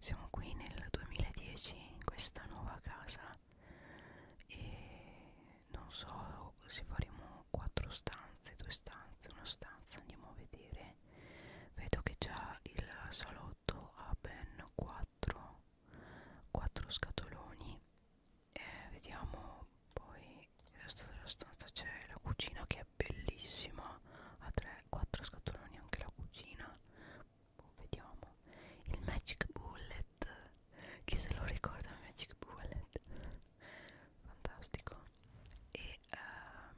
siamo qui nel 2010 in questa nuova casa e non so se faremo quattro stanze, due stanze, una stanza, andiamo a vedere. Vedo che già il salotto ha ben quattro, quattro scatoloni. Eh, vediamo poi il resto della stanza c'è la cucina che è bellissima, ha 3-4 scatoloni anche la cucina, boh, vediamo il Magic Bullet chi se lo ricorda il Magic Bullet fantastico e ehm,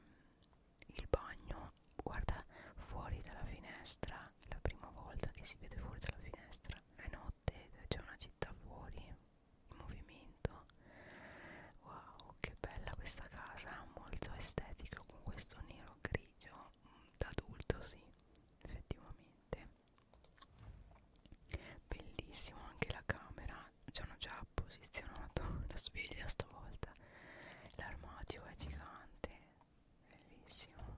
il bagno guarda fuori dalla finestra la prima volta che si vede fuori dalla finestra è notte c'è una città fuori in movimento wow che bella questa casa molto estetica con questo nero grigio pomeriggio mm, da adulto sì effettivamente bellissimo anche la camera ci hanno già posizionato la sveglia stavolta l'armadio è gigante bellissimo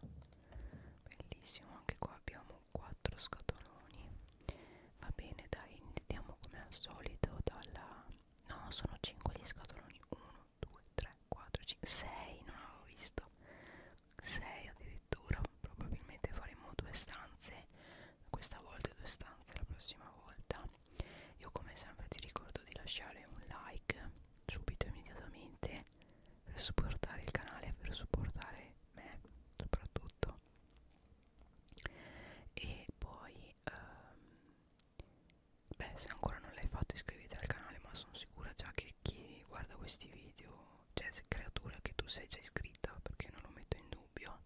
bellissimo anche qua abbiamo quattro scatoloni va bene dai iniziamo come al solito dalla no sono 5 gli scatoloni 1 2, 3, 4, 5, 6 non avevo visto 6 addirittura probabilmente faremo due stanze questa volta e due stanze la prossima volta io come sempre ti ricordo di lasciare un like subito immediatamente per supportare il canale per supportare me soprattutto e poi ehm, Beh, se ancora non l'hai fatto iscriviti al canale, ma sono sicura già che chi guarda questi video, cioè creatura che tu sei già iscritta, perché non lo metto in dubbio.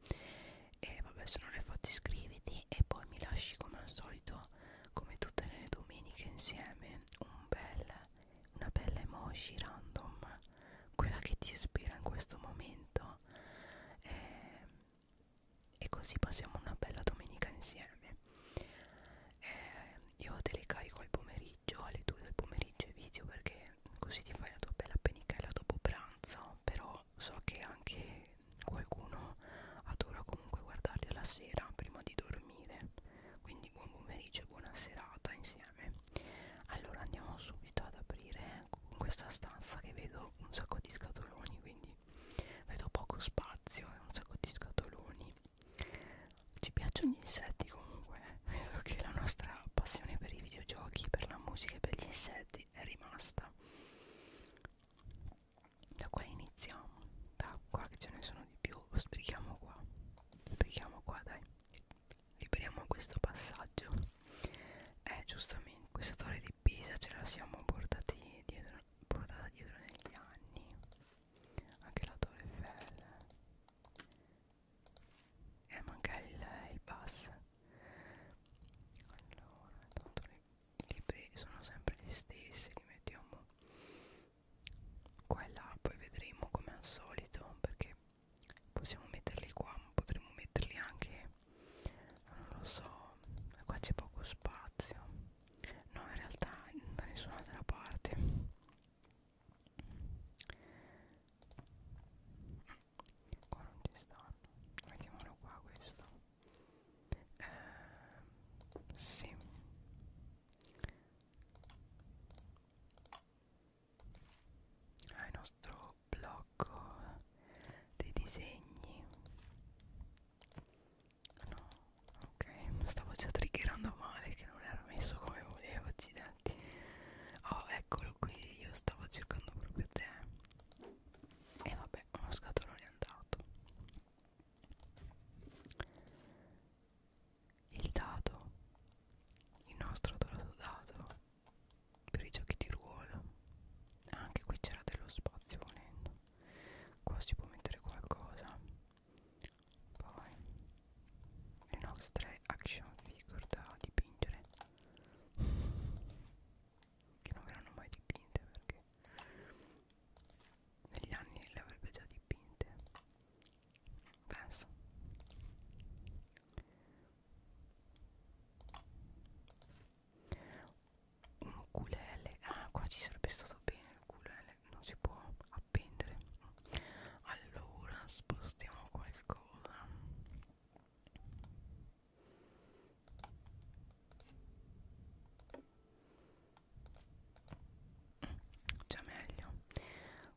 E vabbè, se non l'hai fatto iscriviti e poi mi lasci come al solito, come tutte le domeniche insieme, un bel, una bella emoji random, quella che ti ispira in questo momento. E ehm, e così passiamo una bella domenica insieme eh, io te le carico al pomeriggio alle 2 del pomeriggio i video perché così ti fai la tua bella penichella dopo pranzo però so che anche qualcuno adora comunque guardarli alla sera prima di dormire quindi buon pomeriggio e buona serata insieme allora andiamo subito ad aprire in questa stanza che vedo un sacco di scatoloni quindi vedo poco spazio e un sacco di scatoloni ci piacciono gli insetti comunque vedo che la nostra passione per i videogiochi per la musica e per gli insetti è rimasta da qua iniziamo da qua che ce ne sono di più lo sbrichiamo qua sbrichiamo qua dai liberiamo questo passaggio eh giustamente questa torre di Pisa ce la siamo portati dietro portata dietro negli anni anche la Torre Eiffel e eh, manca il, il bus allora tanto i libri sono sempre gli stessi li mettiamo qua e là poi vedremo come al solito perché possiamo metterli qua ma potremmo metterli anche non lo so qua c'è poco spazio no in realtà da nessun'altra parte qua non ci stanno mettiamolo qua questo eh, sì Ah, il nostro blocco dei disegni No, ok, stavo già triggerando male che non era messo come volevo, accidenti. Oh, eccolo qui, io stavo cercando proprio te. E vabbè, uno scatolone è andato. Il dado, il nostro dorato dado per i giochi di ruolo. Anche qui c'era dello spazio volendo qua si può mettere qualcosa poi le nostre action figure da dipingere che non verranno mai dipinte perché negli anni le avrebbe già dipinte penso un culele ah qua ci sarebbe stato bene il culele non si può appendere allora spostiamo qualcosa mm, già meglio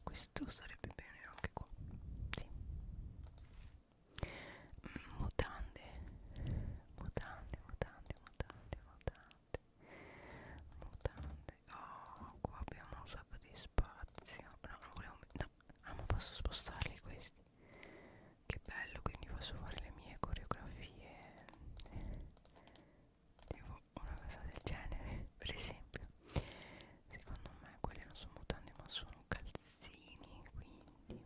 questo sarebbe bene anche qua sì. Mm, mutande mutande mutande mutande mutande mutante mutante oh qua abbiamo un sacco di spazio no non volevo no ah ma posso spostarli questi che bello quindi posso fare le mie coreografie devo una cosa del genere per esempio secondo me quelli non sono mutande ma sono calzini quindi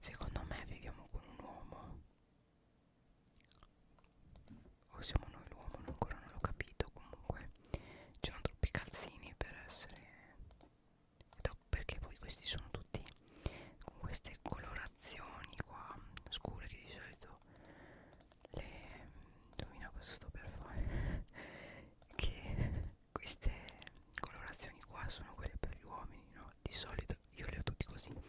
Secondo me viviamo con un uomo o siamo noi l'uomo, ancora non l'ho capito comunque ci sono troppi calzini per essere perché poi questi sono tutti con queste colorazioni qua scure che di solito le indovina cosa sto per fare che queste colorazioni qua sono quelle per gli uomini no di solito io le ho tutti così no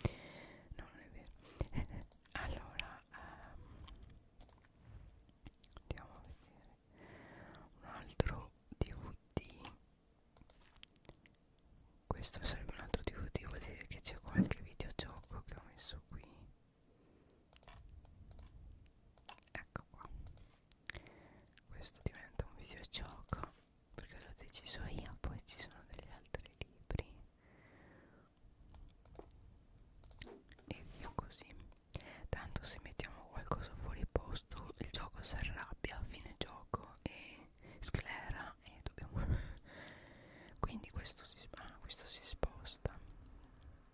non è vero allora um, andiamo a vedere un altro dvd questo sarebbe un altro dvd vuol dire che c'è qualche videogioco che ho messo qui ecco qua questo diventa un videogioco perché l'ho deciso io poi ci sono degli altri libri e via così tanto se mettiamo qualcosa fuori posto il gioco si arrabbia a fine gioco e sclera e dobbiamo quindi questo si, ah, questo si sposta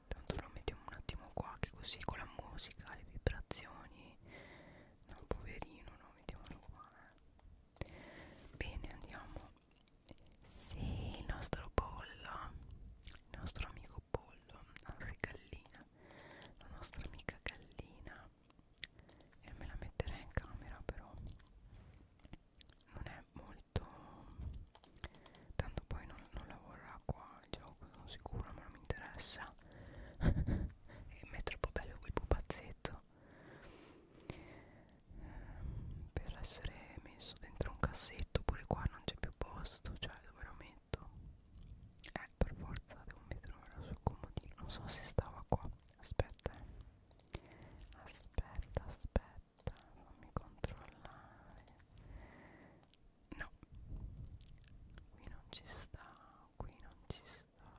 tanto lo mettiamo un attimo qua che così con la musica le vibrazioni no poverino no mettiamolo qua eh. bene andiamo sì il nostro pollo il nostro amico pollo la nostra gallina la nostra amica gallina e me la metterei in camera però non è molto tanto poi non, non lavorerà qua il gioco sono sicura ma non mi interessa e mi è troppo bello quel pupazzetto ehm, per essere messo dentro un cassetto pure qua non c'è più posto cioè dove lo metto eh per forza devo metterlo sul comodino non so se stava qua aspetta eh. aspetta aspetta fammi controllare No, qui non ci sta, qui non ci sta.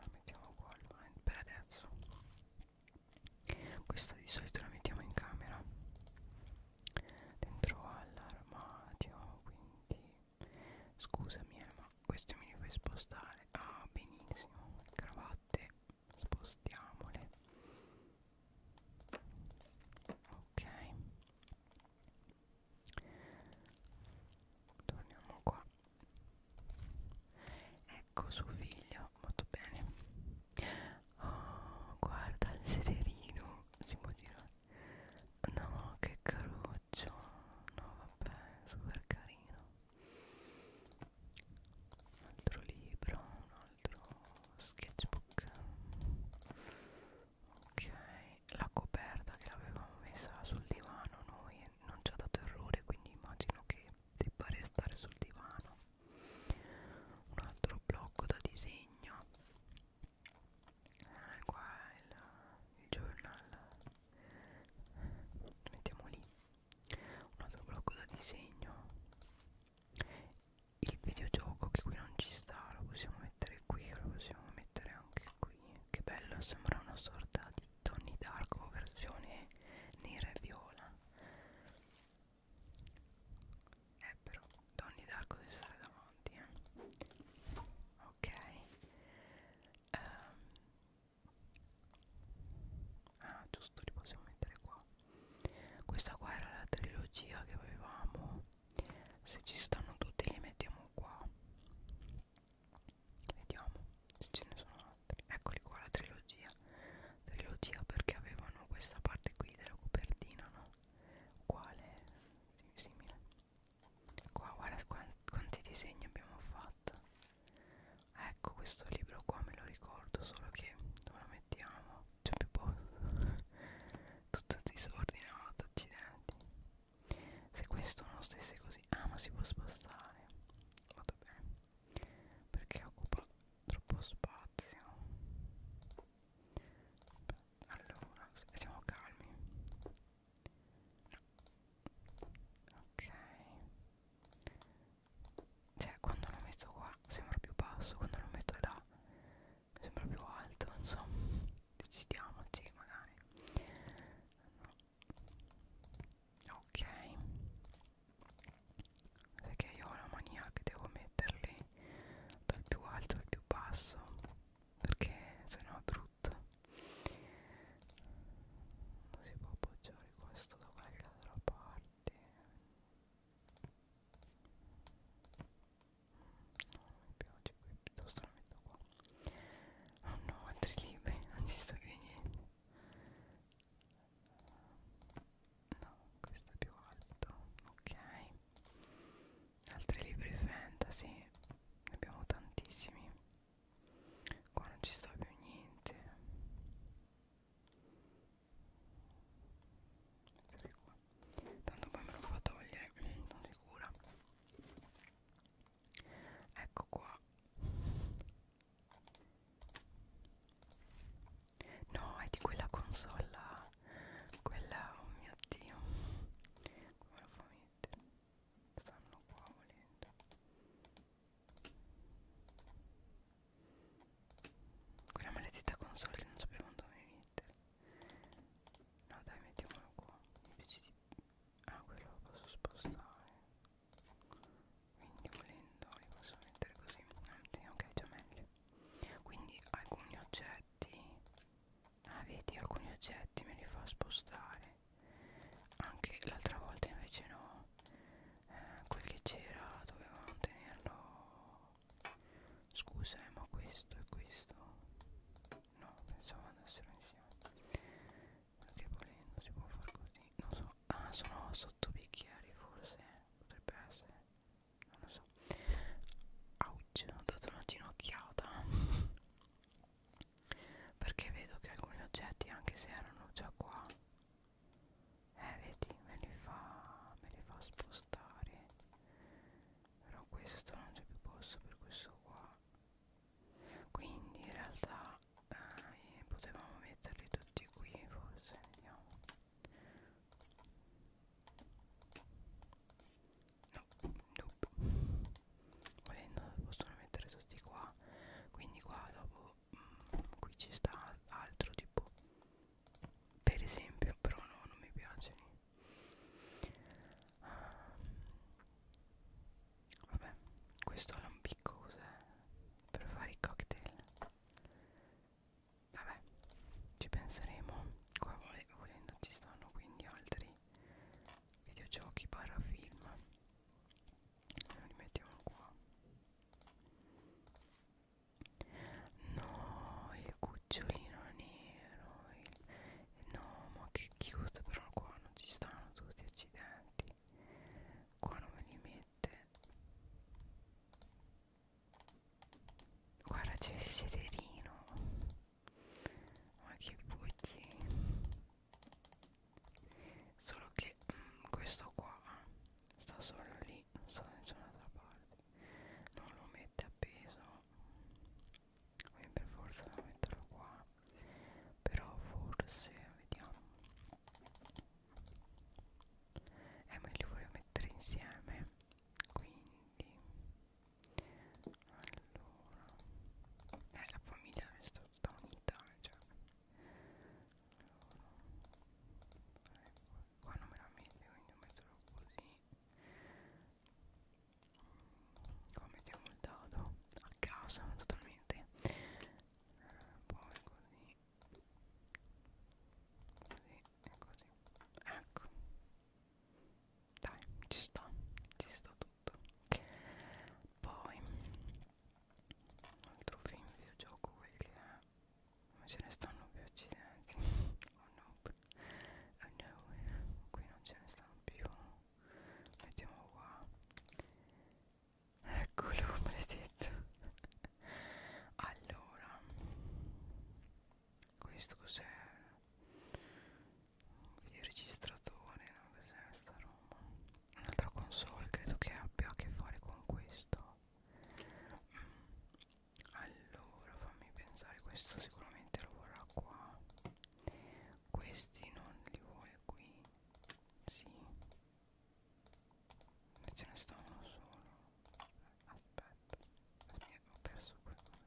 La mettiamo qua per adesso. Questa di solito la mettiamo in camera dentro all'armadio. Quindi scusami, eh, ma questo mi li fai spostare. Ah, benissimo. Cravatte, spostiamole ok torniamo qua ecco suo figlio molto bene oh guarda il sederino si può girare no che caruccio no vabbè super carino un altro libro, un altro sketchbook ok la coperta che l'avevamo messa sul divano noi non ci ha dato errore quindi immagino che debba restare sul divano un altro blocco da disegno eh, qua è il, il journal mettiamo lì un altro blocco da disegno il videogioco che qui non ci sta lo possiamo mettere qui lo possiamo mettere anche qui che bello sembra una sorta di Tony Darko versione nera e viola eh però Tony Darko deve stare davanti eh. ok um. ah giusto li possiamo mettere qua questa qua era la trilogia che avevamo se ci stanno tutti li mettiamo qua vediamo se ce ne sono altri eccoli qua la trilogia trilogia perché avevano questa parte qui della copertina no? uguale simile qua guarda quanti, quanti disegni abbiamo fatto ecco questo libro qua me lo ricordo solo che dove lo mettiamo c'è più posto tutto disordinato accidenti se questo non stesse così ah ma si può spostare vado bene perché occupa troppo spazio allora siamo calmi ok cioè quando lo metto qua sembra più basso quando lo metto là sembra più alto insomma decidiamoci magari no. ok sai che io ho la mania che devo metterli dal più alto al più basso perché sennò è brutto non si può appoggiare questo da qualche altra parte mi piace qui piuttosto la metto qua oh no altri libri non ci sta più niente no questo è più alto ok altri libri fantasy ne abbiamo tantissimi qua non ci sta più niente Ecco qua. Tanto poi me lo fa togliere, sono sicura. Ecco qua. No, è di quella console là. Quella, oh mio dio. Come lo fa mettere? Stanno qua volendo. Quella maledetta console non sapevamo dove mettere No dai mettiamolo qua Invece di... Ah quello lo posso spostare Quindi volendo li posso mettere così Anzi ah, ok già meglio Quindi alcuni oggetti Ah vedi alcuni oggetti me li fa spostare Anche l'altra volta invece no eh, Quel che c'era dovevamo tenerlo Scusa eh, ma questo e questo No pensavo andassero insieme Perché volendo si può far così Non so Ah sono sotto bicchieri forse eh. Potrebbe essere Non lo so Ouch ho dato una ginocchiata Perché vedo che alcuni oggetti anche se erano già qua eh vedi me li fa me li fa spostare però questo non c'è più posto per questo qua quindi in realtà eh, potevamo metterli tutti qui forse vediamo no nope. volendo possono mettere tutti qua quindi qua dopo mh, qui ci sta altro tipo per esempio però no non mi piace uh, vabbè questo lampicco cos'è per fare i cocktail vabbè ci penseremo qua volendo ci stanno quindi altri videogiochi barra film li mettiamo qua No, il cucciolino nero. Il... No, ma che chiuso, però qua non ci stanno tutti accidenti. Qua non me li mette. Guarda, c'è il sederino. Ma che bucci. Solo che mm, questo qua sta solo lì non sta da nessun'altra parte non lo mette appeso quindi per forza devo metterlo qua però forse vediamo eh ma li voglio mettere insieme quindi allora eh la famiglia resta tutta unita cioè ecco qua non me la mette quindi metterò così qua mettiamo il dado a casa totalmente eh, poi così così e così ecco dai ci sta ci sta tutto poi un altro film videogioco quel che è non ce ne stanno più accidenti oh no oh no qui non ce ne stanno più mettiamo qua eccolo maledetto allora questo cos'è il registratore no? cos'è sta roba un'altra console credo che abbia a che fare con questo allora fammi pensare questo sicuramente lo vorrà qua questi non li vuole qui sì e ce ne sta uno solo aspetta ho perso qualcosa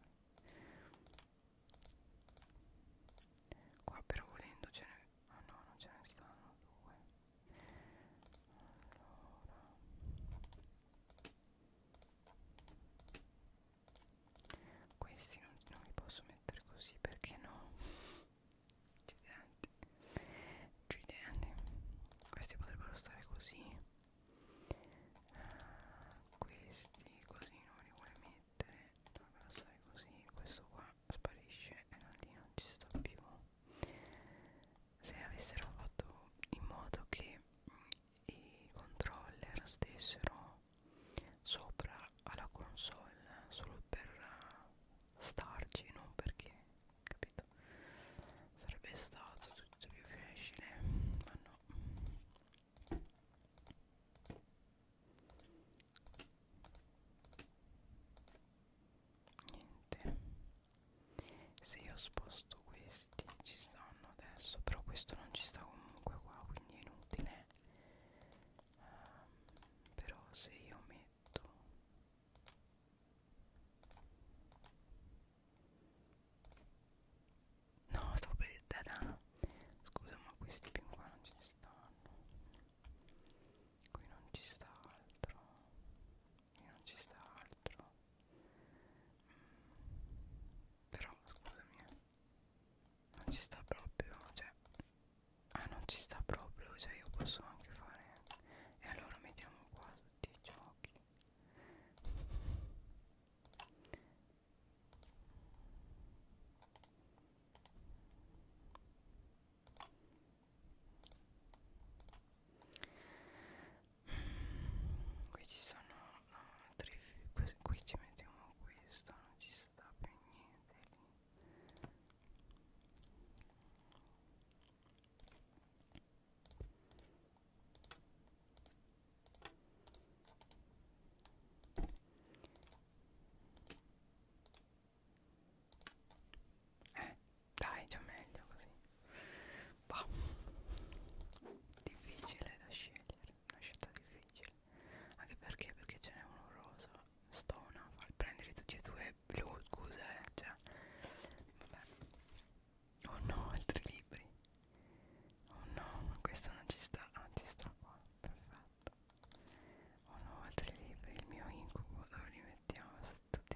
qua però volendo ce ne ah no non ce ne stanno due allora. questi non, non li posso mettere così perché no Giuliani questi potrebbero stare così uh, questi così non li vuole mettere dovrebbero stare così questo qua sparisce e non, lì non ci sta più se avessero fatto in modo che mm, i controller stessero sopra alla console solo per uh, starci non perché capito sarebbe stato tutto più facile ma no niente se io sposto questi ci stanno adesso però questo non ci sta comunque qua quindi è inutile um, però se io metto no sto per tada scusa ma questi più qua non ci stanno qui non ci sta altro e non ci sta altro mm. però scusami eh. non ci sta proprio cioè ah non ci sta proprio cioè io posso anche fare e allora mettiamo qua tutti i giochi qui ci sono no, tre qui, qui ci mettiamo questo non ci sta più niente lì eh dai già meglio così bah. difficile da scegliere una scelta difficile anche perché perché ce n'è uno rosa stona far prendere tutti e due blu scusa eh cioè vabbè oh no altri libri oh no ma questo non ci sta ah ci sta qua perfetto Oh no, altri libri, il mio incubo, dove li mettiamo? Tutti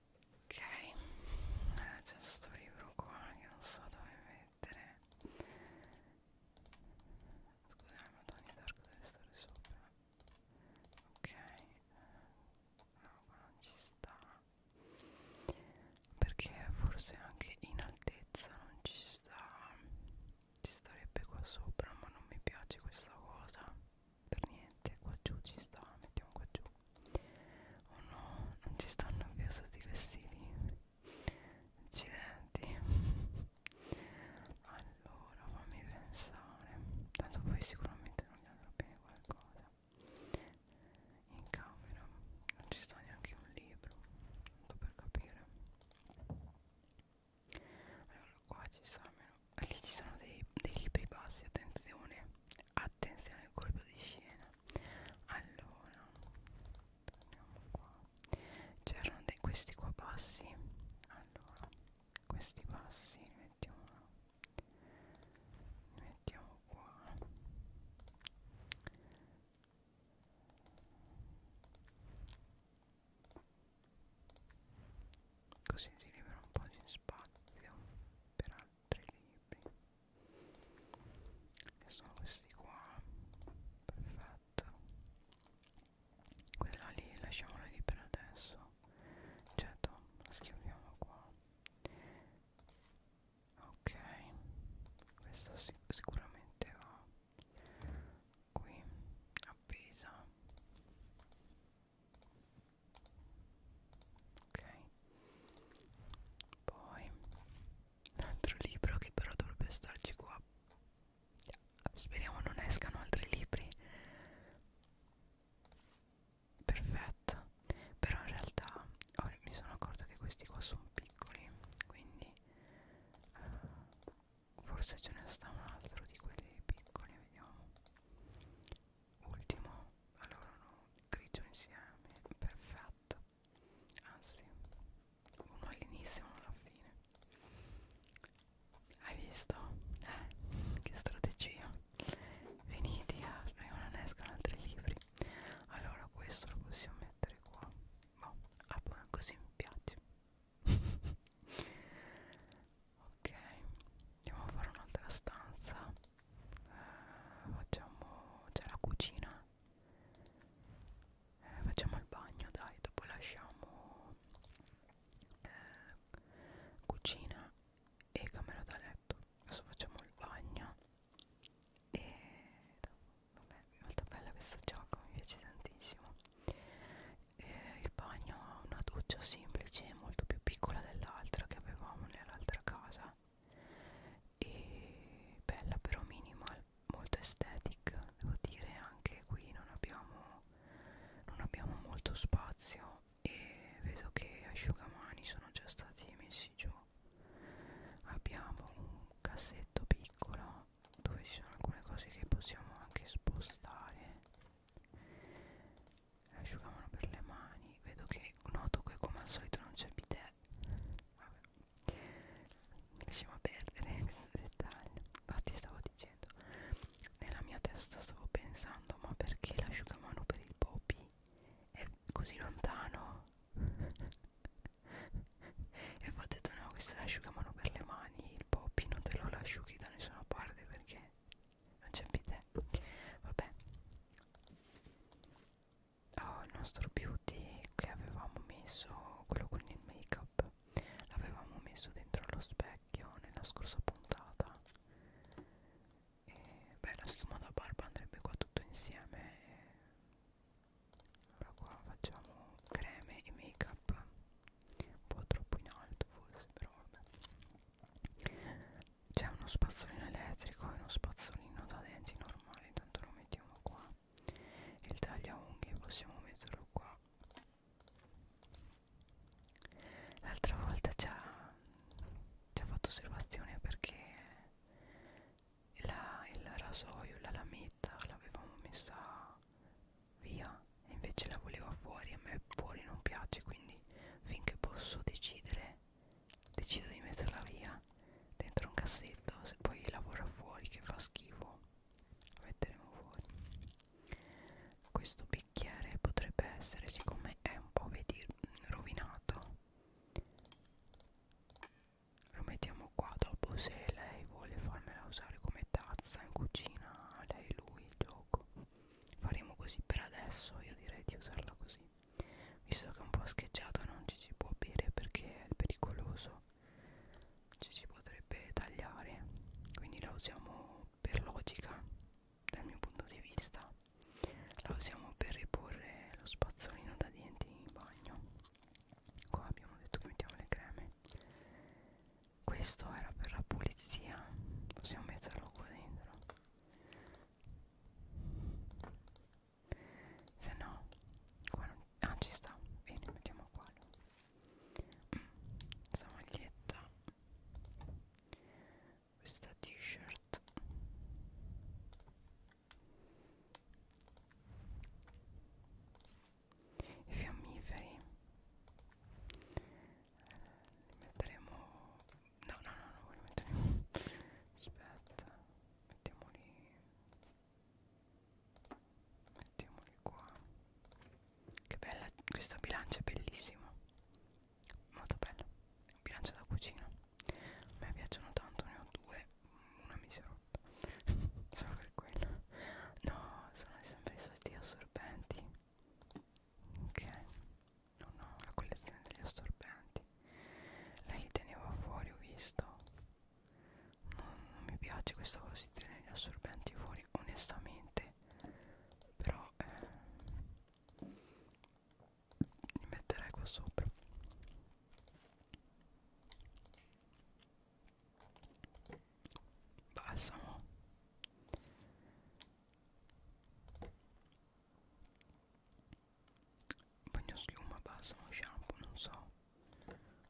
ok ah, c'è sto libro qua che non so dove mettere scusate ma Tony Dark deve stare sopra ok no qua non ci sta perché forse anche in altezza non ci sta ci starebbe qua sopra ma non mi piace questa cosa per niente qua giù ci sta mettiamo qua giù oh no non ci stanno più stati vestiti accidenti allora fammi pensare tanto poi sicuramente non gli andrà bene qualcosa in camera non ci sta neanche un libro tanto per capire allora qua ci sta almeno lì ci sono dei, dei libri bassi attenzione attenzione al colpo di scena allora andiamo qua c'erano questi qua bassi allora questi bassi li mettiamo li mettiamo qua così si libera un po' di spazio per altri libri che sono questi qua perfetto quella lì lasciamola lì per adesso certo la schiaviamo qua ok questa sic sicuramente va qui appesa ok poi un altro libro che però dovrebbe starci qua speriamo non escano altri libri perfetto però in realtà oh, mi sono accorta che questi qua sono piccoli quindi uh, forse ce ne sta un altro di quelli piccoli vediamo Ultimo, allora no, grigio insieme, perfetto. Anzi, uno all'inizio e uno alla fine. Hai visto? Eh, che strategia. Venite a non escono altri libri. Allora questo lo possiamo mettere qua. Boh, ah, così mi piace. ok andiamo a fare un'altra stanza eh, facciamo c'è la cucina eh, facciamo il bagno dai dopo lasciamo eh, cucina e camera da letto adesso facciamo il bagno e vabbè molto bella questo gioco mi piace tantissimo e eh, il bagno ha una doccia semplice molto più piccola dell'altra che avevamo nell'altra casa e bella però minimal molto estetica devo dire anche qui non abbiamo non abbiamo molto spazio e vedo che asciugamani sono già stati messi giù abbiamo un cassetto piccolo dove ci sono alcune cose che possiamo anche spostare Asciugamano per le mani Vedo che noto che come al solito non c'è bidè Vabbè Lasciamo a perdere questo dettaglio Infatti stavo dicendo Nella mia testa stavo pensando Ma perché l'asciugamano per il poppy è così lontano? e ho detto no questo è l'asciugamano per le mani Il poppy non te lo asciughi da nessuna parte perché non c'è bidè vabbè oh il nostro beauty che avevamo messo quello con il make up l'avevamo messo dentro allo specchio nella scorsa puntata e beh la schiuma da barba andrebbe qua tutto insieme allora qua facciamo creme e make up un po' troppo in alto forse però vabbè c'è uno spazzolino elettrico e uno spazzolino da denti normale tanto lo mettiamo qua il tagliaunghie possiamo metterlo qua l'altra volta ci ha, ci ha fatto osservazione perché la, il rasoio la lametta l'avevamo messa via e invece la voleva fuori a me fuori non piace quindi finché posso decidere decido di metterla via dentro un cassetto se poi lavora fuori che fa schifo la metteremo fuori questo bicchiere potrebbe essere siccome è un po' vedi rovinato lo mettiamo qua dopo se lei vuole farmela usare come tazza in cucina lei lui il gioco faremo così per adesso io direi di usarla così visto che è un po' scheggiata non ci si può bere perché è pericoloso ci si potrebbe tagliare quindi la usiamo per logica dal mio punto di vista la usiamo per riporre lo spazzolino da denti in bagno qua abbiamo detto che mettiamo le creme questo era per la pulizia possiamo metterlo qua dentro se no qua non, ah ci sta bene mettiamo qua mm, questa maglietta questa t-shirt i fiammiferi li metteremo no no no no li metteremo aspetta mettiamoli mettiamoli qua che bella questa bilancia è bellissima molto bella bilancia da cucina a me piacciono tanto ne ho due una mi si è rotta solo per quella no sono sempre i soliti assorbenti ok non ho la collezione degli assorbenti lei teneva fuori ho visto non, non mi piace questa cosa di tenere gli assorbenti fuori onestamente però eh, li metterei qua sopra balsamo bagno schiuma, balsamo, shampoo, non so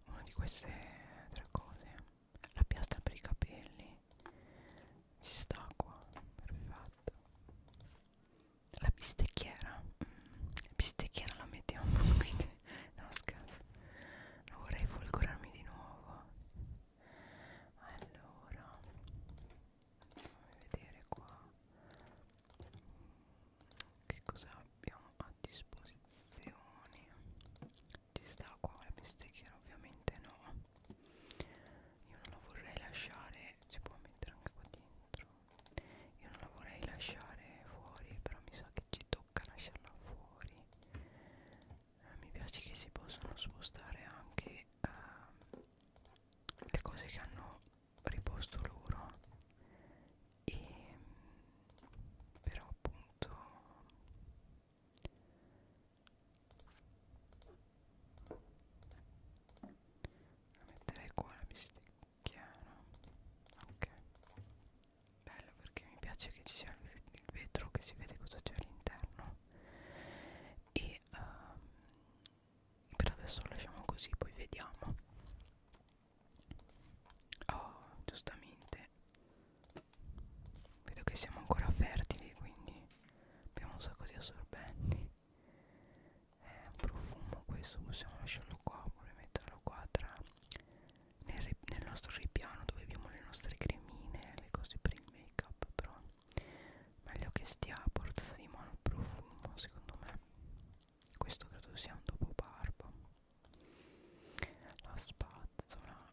una di queste tre cose la piastra per i capelli ci sta qua, perfetto la bistecchiera mm, la bistecchiera la mettiamo quindi no scherzo non vorrei folgorarmi di nuovo allora fammi vedere qua che cosa abbiamo a disposizione ci sta qua la bestecchiera ovviamente no io non la vorrei lasciare si può mettere anche qua dentro io non la vorrei lasciare fuori però mi sa che ci tocca lasciarla fuori eh, mi piace che si possono spostare anche uh, le cose che hanno riposto loro e però appunto la metterei qua la bisticchiana ok bello perché mi piace che ci sia il vetro che si vede cosa c'è all'interno e uh, per adesso lo lasciamo così poi vediamo oh giustamente vedo che siamo ancora fertili quindi abbiamo un sacco di assorbenti è un profumo questo possiamo lasciarlo qua oppure metterlo qua tra nel, nel nostro ripiano dove abbiamo le nostre cremine le cose prime il make up però meglio che stia a portata di mano profumo secondo me questo credo sia un dopo barba la spazzola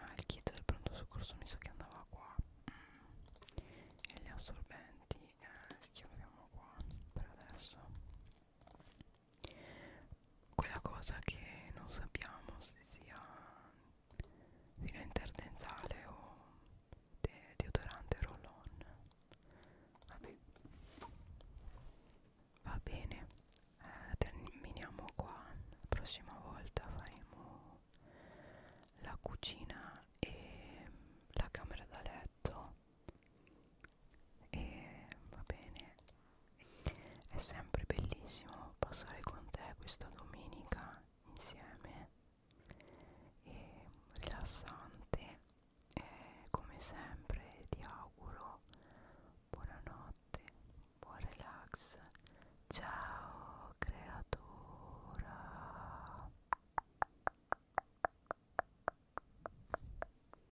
ah il kit del pronto soccorso mi sa che andava qua mm. e gli assorbenti eh, li chiamiamo qua per adesso quella cosa che non sappiamo se sia filo interdentale o de deodorante roll on vabbè va bene eh, terminiamo qua la prossima volta faremo la cucina e la camera da letto e va bene è sempre bellissimo passare con te questa domenica insieme e rilassante e come sempre ti auguro buonanotte buon relax ciao creatura